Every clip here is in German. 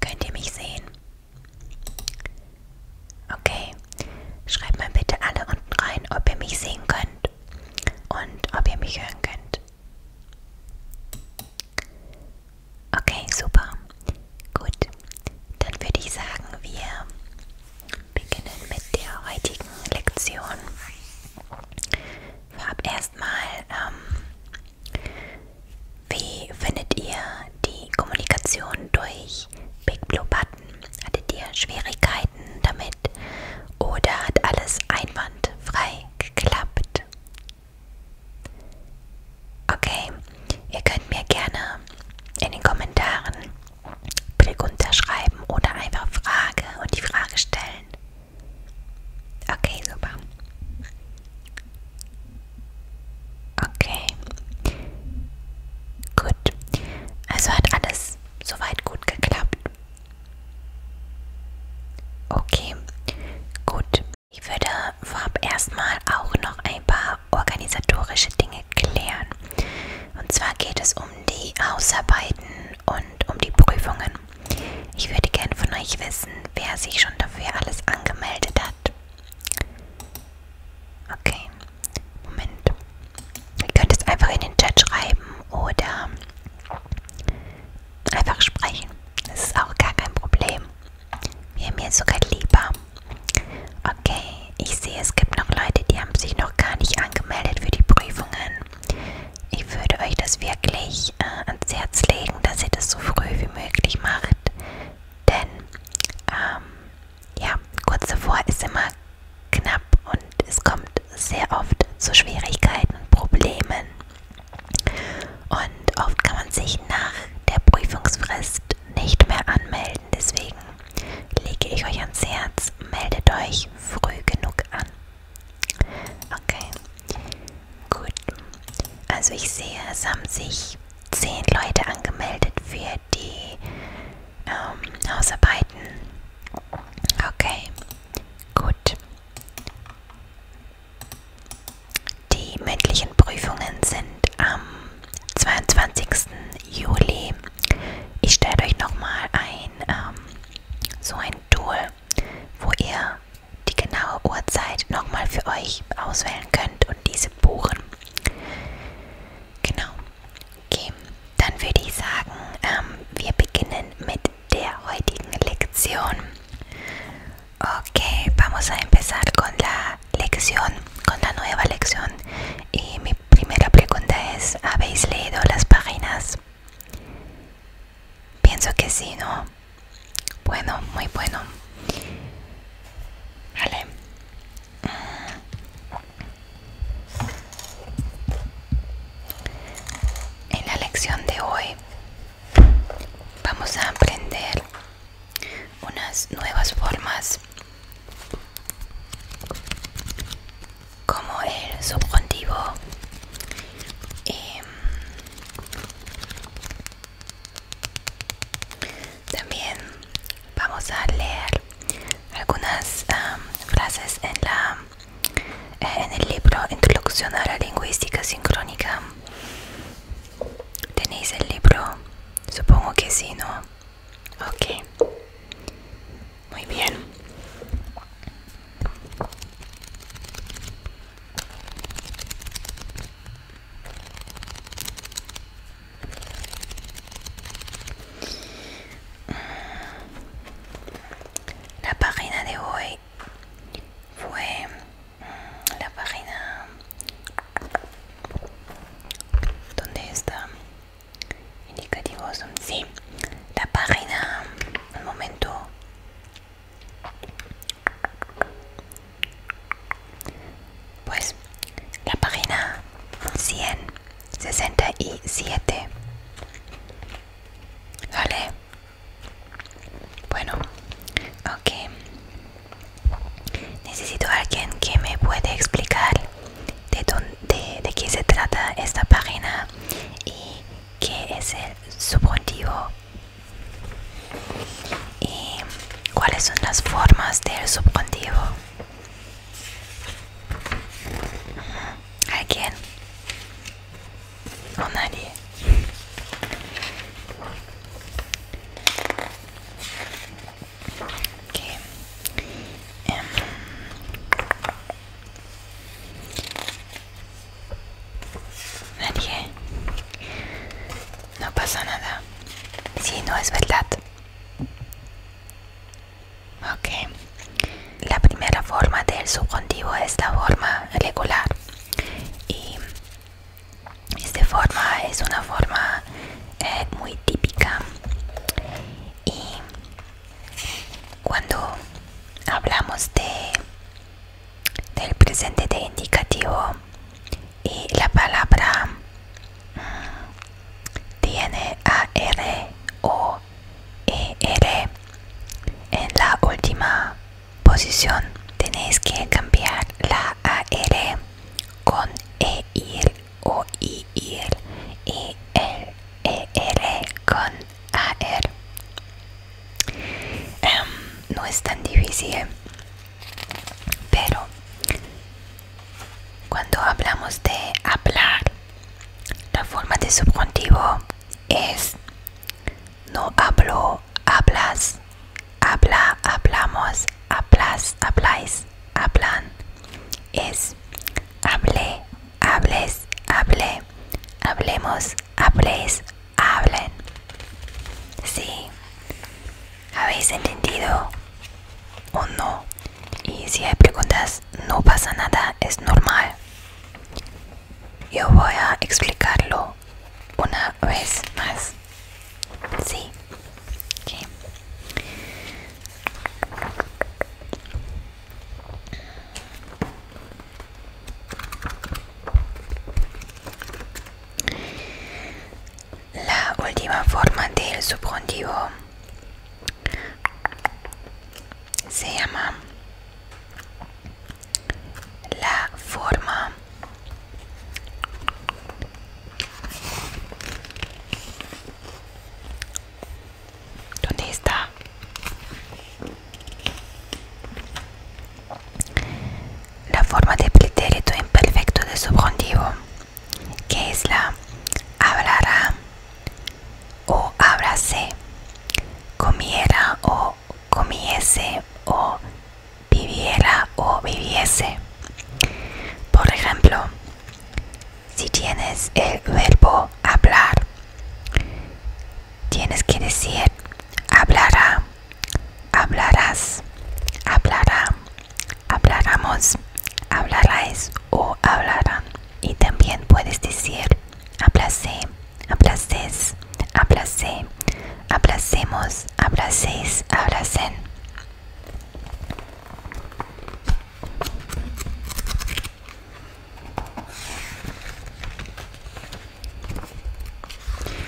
Könnt ihr mich sehen? Okay, schreibt mal bitte alle unten rein, ob ihr mich sehen könnt und ob ihr mich hören könnt. Okay, super. Gut, dann würde ich sagen, wir beginnen mit der heutigen Lektion. Ich habe erstmal, ähm, wie findet ihr die Kommunikation durch Big Blue Button? Hattet ihr Schwierigkeiten damit oder hat alles einwandfrei geklappt? Okay, ihr könnt mir gerne in den Kommentaren Blick unterschreiben oder einfach Frage und die Frage stellen. Okay, super. Okay. Gut. Also hat alles soweit gut geklappt. Okay. Gut. Ich würde vorab erstmal auch noch ein paar organisatorische Dinge klären. Und zwar geht es um die Hausarbeiten und um die Prüfungen. Ich würde gerne von euch wissen, wer sich schon dafür alles angemeldet hat. Okay, Moment. Ihr könnt es einfach in den Chat schreiben oder einfach sprechen. Das ist auch gar kein Problem. Wäre mir sogar lieber. Okay, ich sehe, es gibt noch Leute, die haben sich noch gar nicht angemeldet für die Prüfungen. Ich würde euch das wirklich äh, ans Herz legen, dass ihr das so früh wie möglich macht. Denn, ähm, ja, kurz davor ist immer knapp und es kommt sehr oft zu Schwierigkeiten und Problemen. Und oft kann man sich nach der Prüfungsfrist nicht mehr anmelden. Deswegen lege ich euch ans Herz, meldet euch früh genug an. Okay, gut. Also ich sehe, es haben sich zehn Leute angemeldet für die ähm, Hausarbeiten. Okay, gut. Die mündlichen Prüfungen sind am 22. Juli. Ich stelle euch nochmal ein, ähm, so ein Tool, wo ihr die genaue Uhrzeit nochmal für euch auswählen könnt und diese buchen. Genau. Okay, dann würde ich sagen, ähm, wir beginnen mit de hoy en lección Ok, vamos a empezar con la lección, con la nueva lección. Y mi primera pregunta es, ¿habéis leído las páginas? Pienso que sí, ¿no? Bueno, muy bueno. Vale. Mm. En la lección de hoy vamos a aprender unas nuevas formas como el subjuntivo em, también vamos a leer algunas frases en la en el libro introducción a la lingüística sincrónica ¿Tenéis el libro? Supongo que sí, ¿no? Ok. Muy bien. La página de hoy fue la página donde está indicativos sí la página un momento pues la página 167 vale bueno, ok. Necesito a alguien que me pueda explicar de, de qué se trata esta página y qué es el subjuntivo y cuáles son las formas del subjuntivo. ¿Alguien? ¿O em, Nadie. No pasa nada. Si no es verdad. Okay. La primera forma del subjuntivo es la forma regular y esta forma es una forma eh, muy típica y cuando hablamos de del presente de indicativo y la palabra mm, tiene a r o ER en la última posición tenéis que cambiar la AR con e o IR y e, el ER con AR. Em, no es tan difícil, pero cuando hablamos de hablar, la forma de subjuntivo es no hablo, hablas, habla, hablamos, hablas, habláis, hablan. Es hable, hables, hable, hablemos, habléis, hablen. Sí, habéis entendido o no. Y si hay preguntas, no pasa nada, es normal. Yo voy a explicarlo una vez más. Sí. La última forma del subjuntivo se llama la forma ¿Dónde está? La forma de pretérito imperfecto de subjuntivo, que es la hablará o abrase comiera o comiese o viviera o viviese. Por ejemplo, si tienes el verbo hablar, tienes que decir hablará, hablarás, hablará, hablaramos, hablaráis o hablarán. Y también puedes decir abracé, abracés, abracé, abracemos, abracéis, abracen.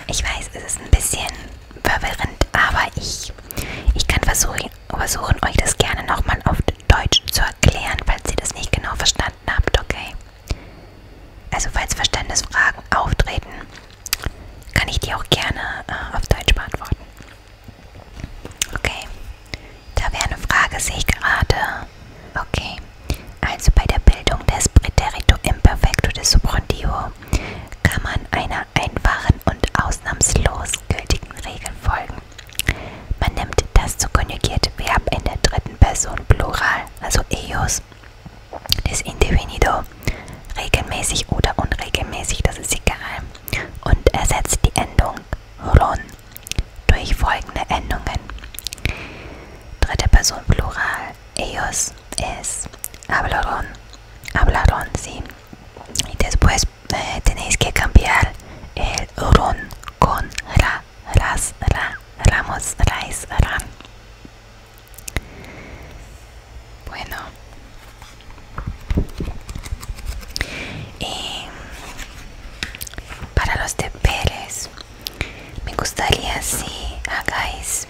Ich weiß, es ist ein bisschen verwirrend, aber ich, ich kann versuchen, versuchen euch das gerne nochmal auf Deutsch zu erklären, falls ihr das nicht genau verstanden habt, okay? Also falls Verständnisfragen auftreten, kann ich die auch gerne äh, auf Deutsch beantworten. Okay, da wäre eine Frage, sehe ich gerade. Okay, also bei der Bildung des Präterito Imperfecto des Subrontivo kann man einer einfachen und ausnahmslos gültigen Regel folgen. Man nimmt das zu konjugierte Verb in der dritten Person Plural, also EOS, des Individuo regelmäßig oder unregelmäßig, das ist egal, und ersetzt die Endung ron durch folgende Endungen. Dritte Person Plural, ellos, es, hablaron, hablaron sie. Y después eh, tenéis que cambiar el ron con ra. Las, Ramos, Rais, Ran. Bueno. Y para los deberes, me gustaría si hagáis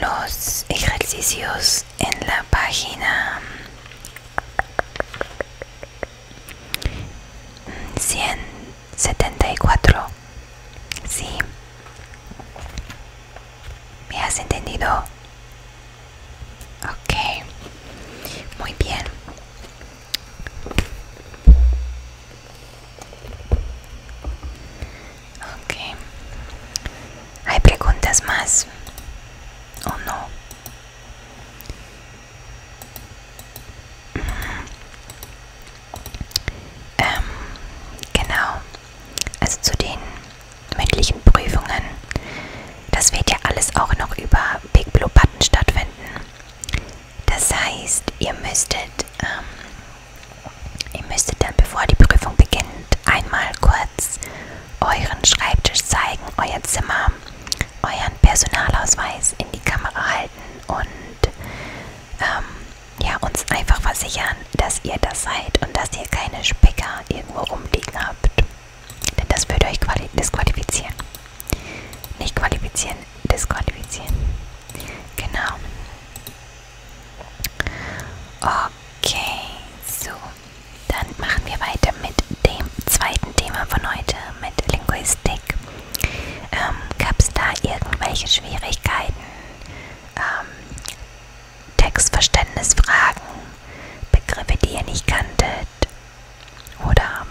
los ejercicios en la página 100 mm, 74. Sí. ¿Me has entendido? Ok. Muy bien. okay ¿Hay preguntas más? ¿O no? Ähm, genau. Also zu den mündlichen Prüfungen. Das wird ja alles auch noch über Big Blue Button stattfinden. Das heißt, ihr müsstet, ähm, ihr müsstet dann, bevor die Prüfung beginnt, einmal kurz euren Schreibtisch zeigen, euer Zimmer, euren Personalausweis in die Kamera halten und ähm, ja, uns einfach versichern, dass ihr das seid und dass ihr keine Specker irgendwo rumliegen habt. Denn das würde euch disqualifizieren. Nicht qualifizieren, disqualifizieren. Genau. Okay, so. Dann machen wir weiter mit dem zweiten Thema von heute, mit Linguistik. Ähm, Gab es da irgendwelche Schwierigkeiten? Ähm, Textverständnisfragen, Begriffe, die ihr nicht kanntet? Oder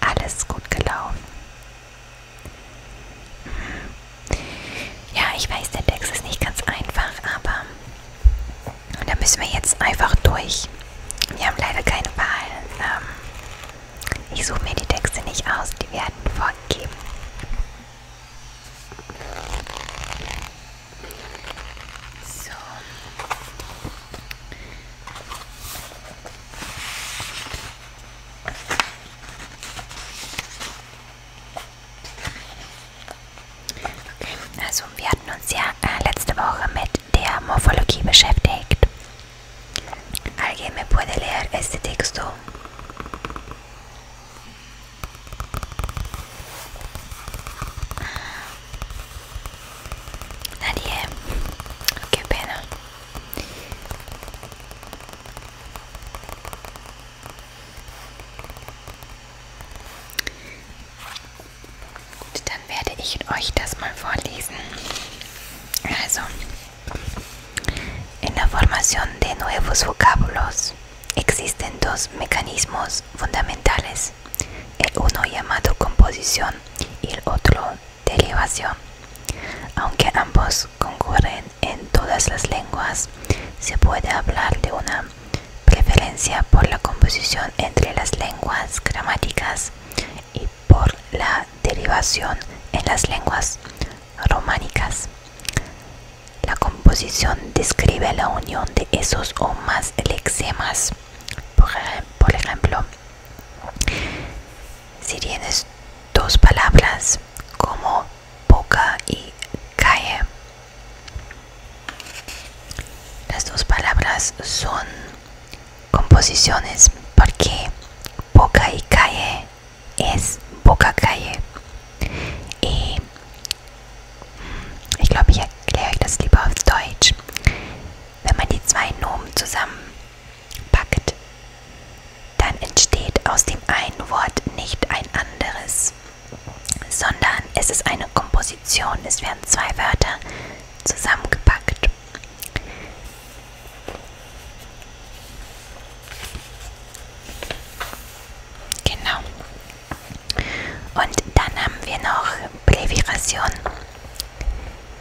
alles gut gelaufen? Mhm. Ja, ich weiß, der Text ist nicht ganz einfach, aber da müssen wir jetzt einfach durch. Wir haben leider keine Wahl. Ähm, ich suche mir die Texte nicht aus, die werden vorgegeben. So. Okay, also wir hatten uns ja äh, letzte Woche mit der Morphologie beschäftigt. ¿Alguien me puede leer este texto? Nadie. Qué pena. Gut, dann werde ich euch das mal vorlesen. Also. En la formación de nuevos vocabulos existen dos mecanismos fundamentales, el uno llamado composición y el otro derivación. Aunque ambos concurren en todas las lenguas, se puede hablar de una preferencia por la composición entre las lenguas gramáticas y por la derivación en las lenguas románicas. La composición describe la unión de esos o más lexemas. Por, ejemplo, si tienes dos palabras como boca y cae las dos palabras son composiciones porque boca y cae es Bokakaye. Ähm, ich glaube, ich erkläre euch das lieber auf Deutsch. Wenn man die zwei Nomen zusammenpackt, dann entsteht aus dem einen Wort nicht ein anderes, sondern es ist eine Komposition. Es werden zwei Wörter zusammengepackt. Y luego tenemos haben wir noch Präviration.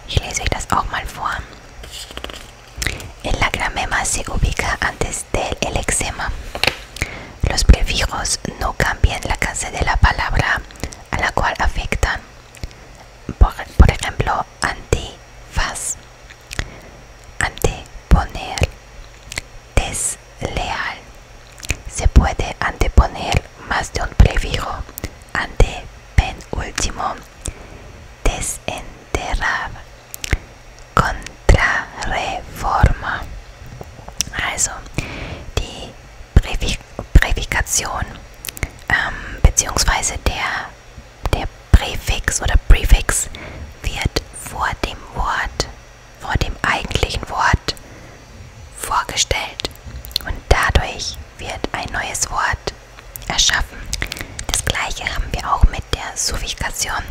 Ich lese mal El lacrimema se ubica antes del eczema Los prefijos no cambian la clase de la palabra a la cual afectan. Por, por ejemplo, antifaz Anteponer. Desleal. Se puede anteponer más de un prefijo ante penúltimo. Desenterrar. Contrarreforma. Also die prefijación, ähm, beziehungsweise der der Präfix oder Prefix wird vor dem Wort, vor dem eigentlichen Wort vorgestellt und dadurch wird ein neues Wort erschaffen. Das gleiche haben wir auch mit der Suffikation.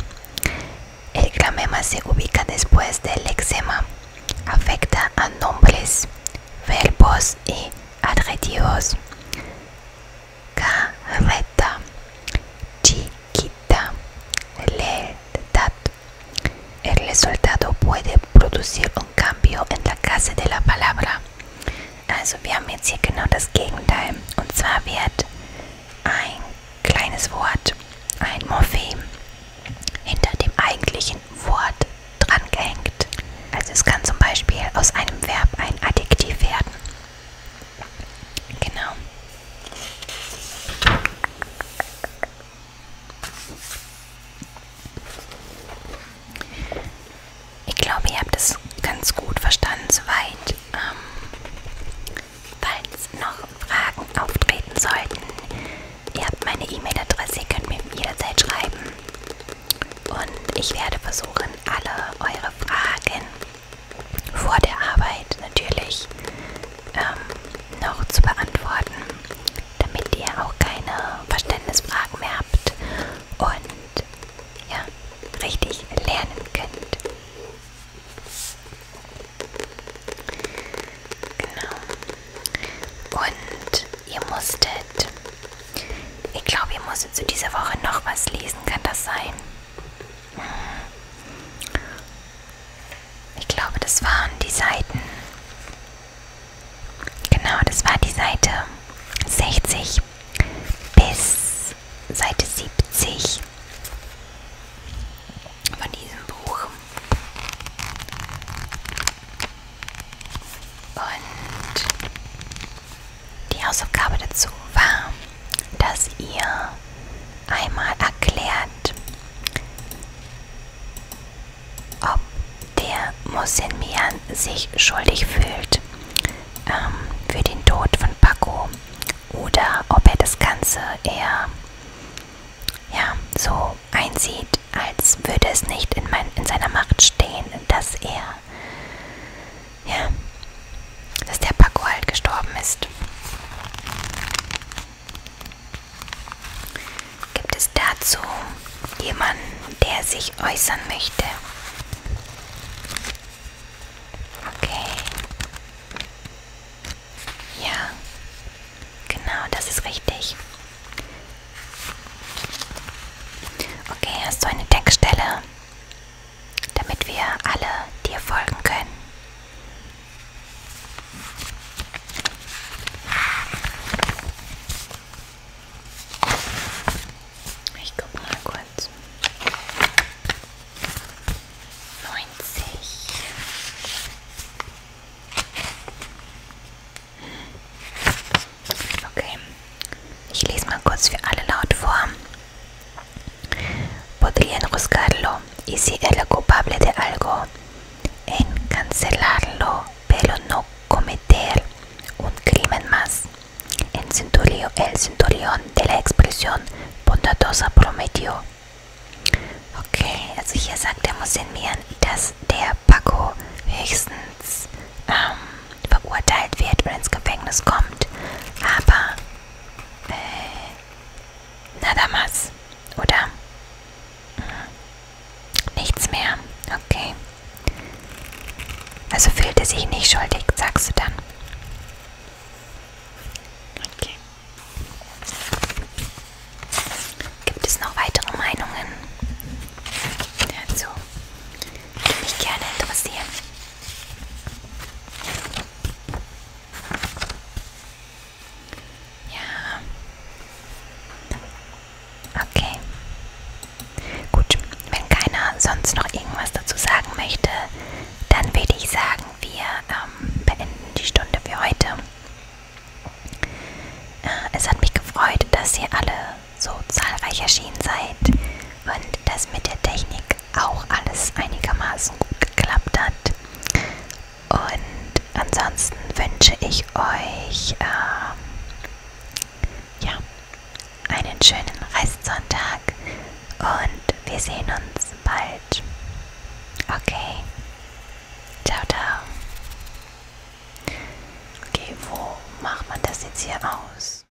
El clamema se ubica después del lexema, afecta a nombres, verbos y adjetivos. Carreta chiquita lealtad el resultado puede producir un cambio en la clase de la palabra also wir haben jetzt hier genau das Gegenteil und zwar wird ein kleines Wort ein Morphem hinter dem eigentlichen Wort drangehängt also es kann zum Beispiel aus einem Verb ein Adjektiv werden Genau. Ich glaube, ihr habt es ganz gut verstanden soweit. Ähm, falls noch Fragen auftreten sollten, ihr habt meine E-Mail-Adresse, ihr könnt mir jederzeit schreiben. Und ich werde versuchen, alle eure Fragen vor der Arbeit natürlich ähm, noch zu beantworten, damit ihr auch keine Verständnisfragen mehr habt und ja, richtig lernen könnt. Genau. Und ihr musstet ich glaube, ihr musstet zu dieser Woche noch was lesen, kann das sein? Ich glaube, das waren die Seiten. Genau, das war die Seite 60 bis Seite 70 von diesem Buch. Und die Hausaufgabe dazu war, dass ihr einmal erklärt, ob der Mosinmian sich schuldig fühlt ähm, für den Tod von Paco oder ob er das Ganze eher ja, so einsieht, als würde es nicht in, mein, in seiner Macht stehen, dass er ja. Dass der Paco halt gestorben ist. Gibt es dazu jemanden, der sich äußern möchte? Okay. Ja. Genau, das ist richtig. Okay, hast du eine Deckstelle? damit wir alle dir folgen können. Ich guck mal kurz. 90. Okay. Ich lese mal kurz für alle laut vor. Podrían juzgarlo y si era culpable de algo, en cancelarlo, pero no cometer un crimen más. El centurión, el centurión de la expresión bondadosa prometió. ok, also hier sagt der Mosenian, que der Paco höchstens ähm, verurteilt wird und ins Gefängnis kommt. Aber, äh, nada más, oder? Hm. Nichts mehr, okay. Also fühlt er sich nicht schuldig, sagst du dann. Okay. Gibt es noch weitere Meinungen also, dazu, die mich gerne interessieren? Ja. Okay. Gut, wenn keiner sonst noch irgendwas dazu sagen möchte, dann würde ich sagen, wir ähm, beenden die Stunde für heute. Äh, es hat mich gefreut, dass ihr alle so zahlreich erschienen seid und dass mit der Technik auch alles einigermaßen gut geklappt hat. Und ansonsten wünsche ich euch ähm, ja, einen schönen Restsonntag und wir sehen uns bald. Okay. Ciao, ciao. Okay, wo macht man das jetzt hier aus?